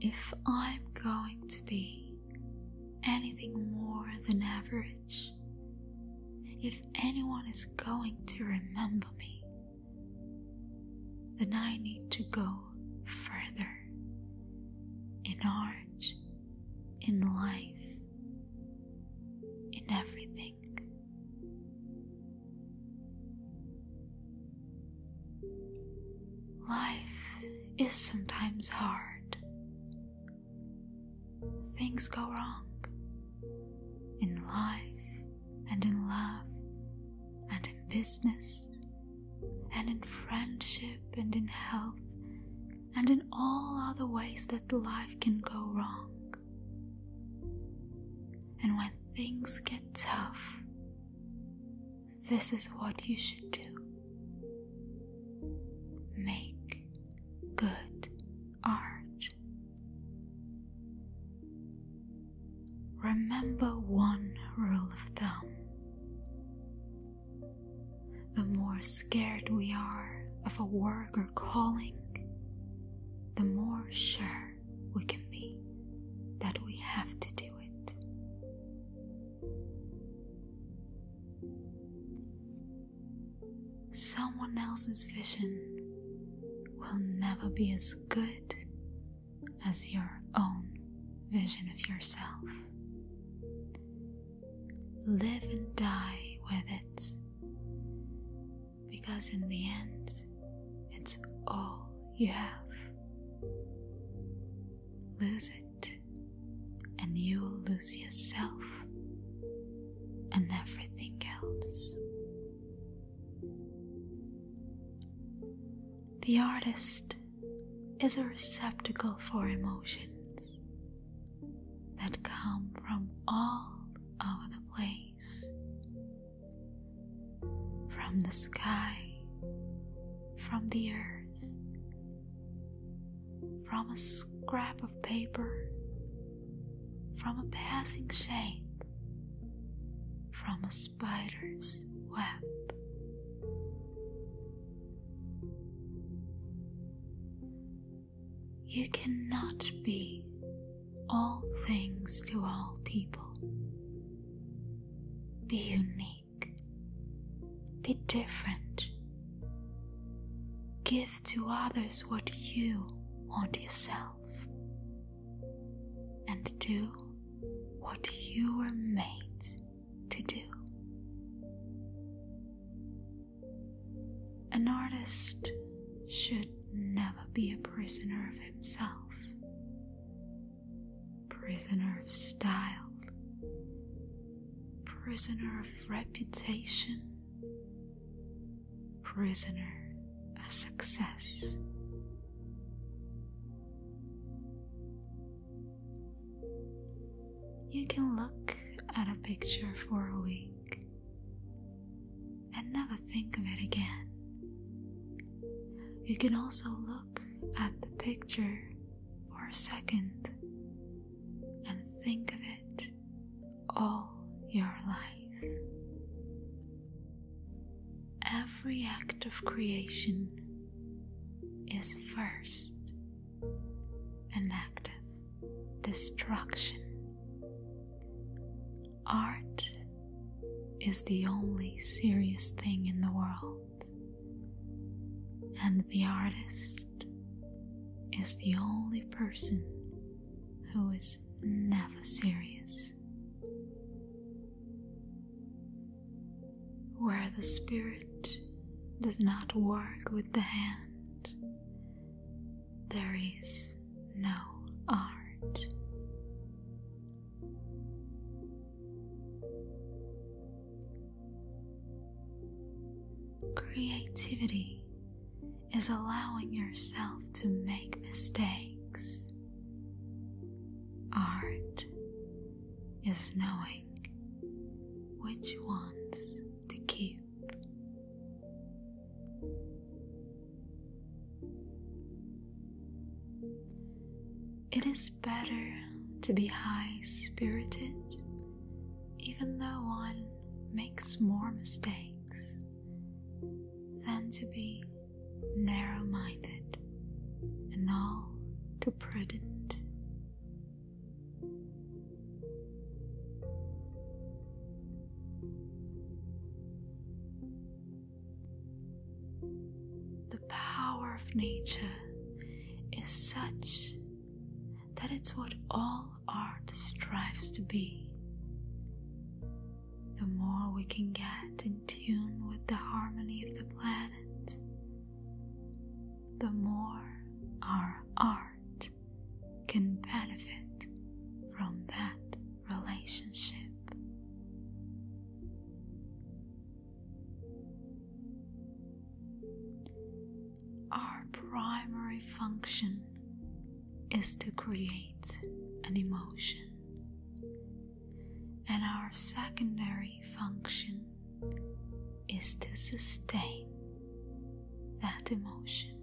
If I'm going to be anything more than average, if anyone is going to remember me, then I need to go further in art, in life, in everything. Life is sometimes hard. Things go wrong in life and in love and in business and in friendship and in health and in all other ways that life can go wrong. And when things get tough, this is what you should do make good art. Remember one rule of thumb the more scared we are of a work or calling, the more sure we can be that we have to do it. Someone else's vision will never be as good as your own vision of yourself. Live and die with it because, in the end, it's all you have. Lose it, and you will lose yourself and everything else. The artist is a receptacle for emotions that come from all over the place from the sky, from the earth, from a scrap of paper, from a passing shape, from a spider's web. You cannot be all things to all people. Be unique. Be different. Give to others what you want yourself. And do what you were made to do. An artist should never be a prisoner of himself, prisoner of style, prisoner of reputation, prisoner of success. You can look at a picture for a week and never think of it again. You can also look at the picture for a second and think of it all your life. Every act of creation is first an act of destruction. Art is the only serious thing in the world, and the artist is the only person who is never serious. Where the spirit does not work with the hand, there is no art. Creativity is allowing yourself to make mistakes. Art is knowing which ones to keep it is better to be high spirited, even though one makes more mistakes, than to be narrow minded and all too prudent. The power of nature is such that it's what all art strives to be. The more we can get in tune with the harmony of the planet, the more our art can benefit from that relationship. Our primary function is to create an emotion, and our secondary function is to sustain that emotion.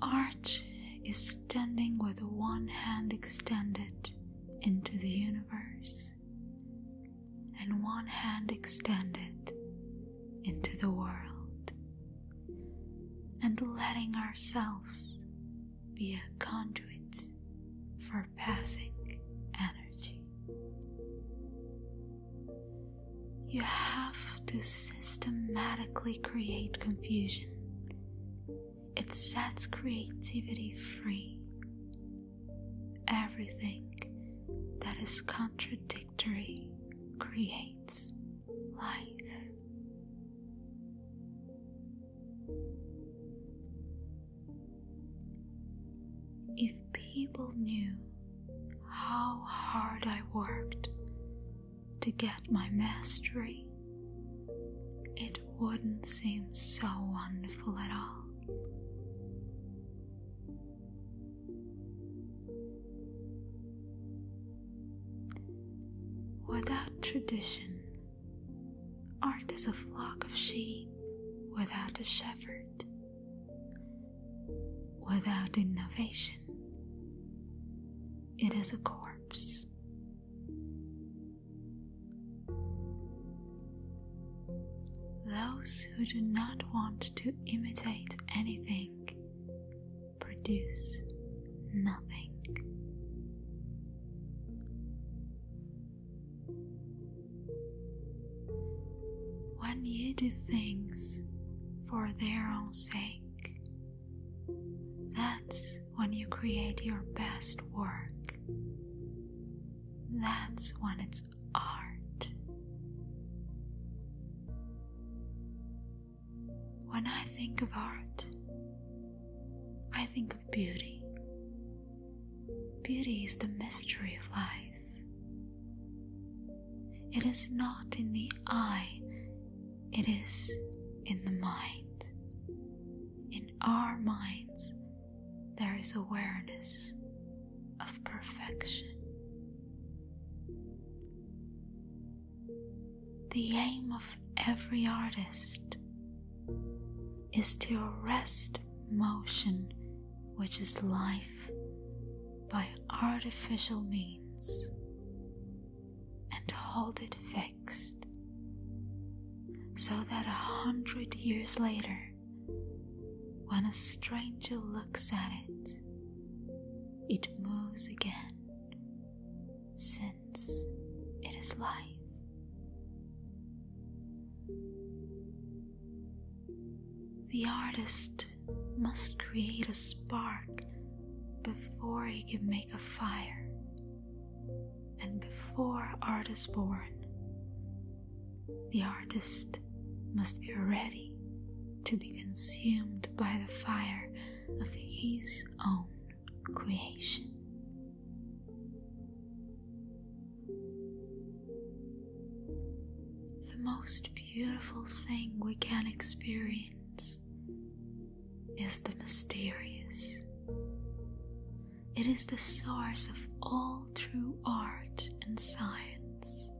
Arch is standing with one hand extended into the universe and one hand extended into the world, and letting ourselves be a conduit for passing energy. You have to systematically create confusion. It sets creativity free. Everything that is contradictory creates life. If people knew how hard I worked to get my mastery, it wouldn't seem so wonderful at all. Without tradition, Art is a flock of sheep without a shepherd, without innovation. It is a corpse. Those who do not want to imitate anything produce nothing. When you do things for their own sake, that's when you create your best work. That's when it's art. When I think of art, I think of beauty. Beauty is the mystery of life. It is not in the eye, it is in the mind. In our minds, there is awareness of perfection. The aim of every artist is to arrest motion, which is life, by artificial means, and hold it fixed, so that a hundred years later, when a stranger looks at it, it moves again, since it is life. The artist must create a spark before he can make a fire, and before art is born, the artist must be ready to be consumed by the fire of his own creation. The most beautiful thing we can experience is the mysterious. It is the source of all true art and science.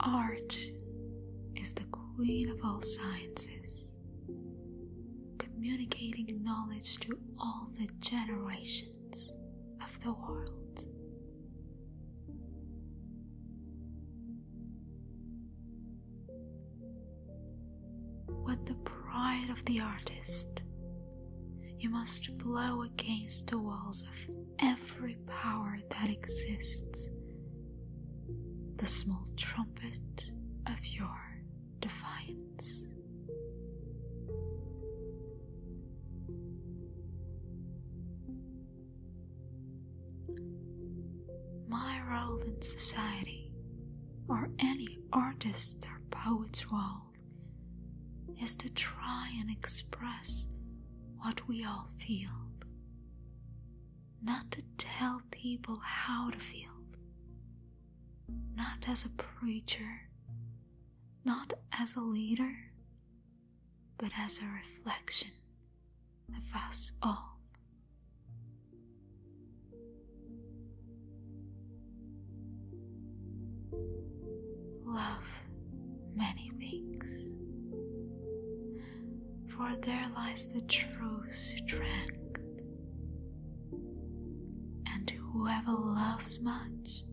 Art is the queen of all sciences, communicating knowledge to all the generations of the world. What the pride of the artist you must blow against the walls of every power that exists, the small trumpet of your defiance. My role in society, or any artist's or poet's role, is to try and express what we all feel, not to tell people how to feel, not as a preacher, not as a leader, but as a reflection of us all. Love many things, for there lies the true strength. And whoever loves much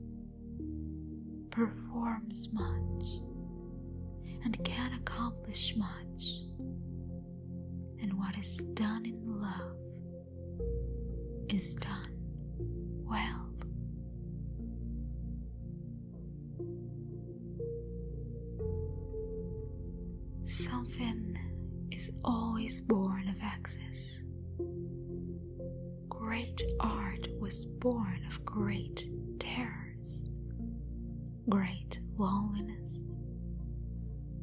performs much and can accomplish much. And what is done in love is done well. Something is always born of excess. Great art was born of great terrors, great loneliness,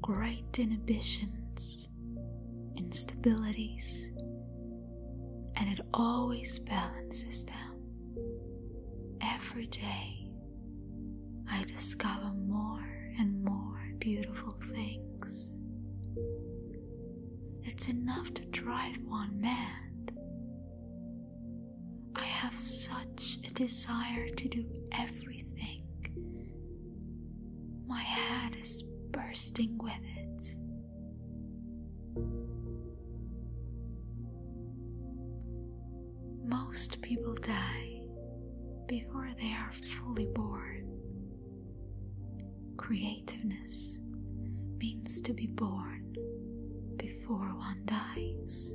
great inhibitions instabilities, and it always balances them. Every day, I discover more and more beautiful things. It's enough to drive one mad. I have such a desire to do everything my head is bursting with it. Most people die before they are fully born. Creativeness means to be born before one dies.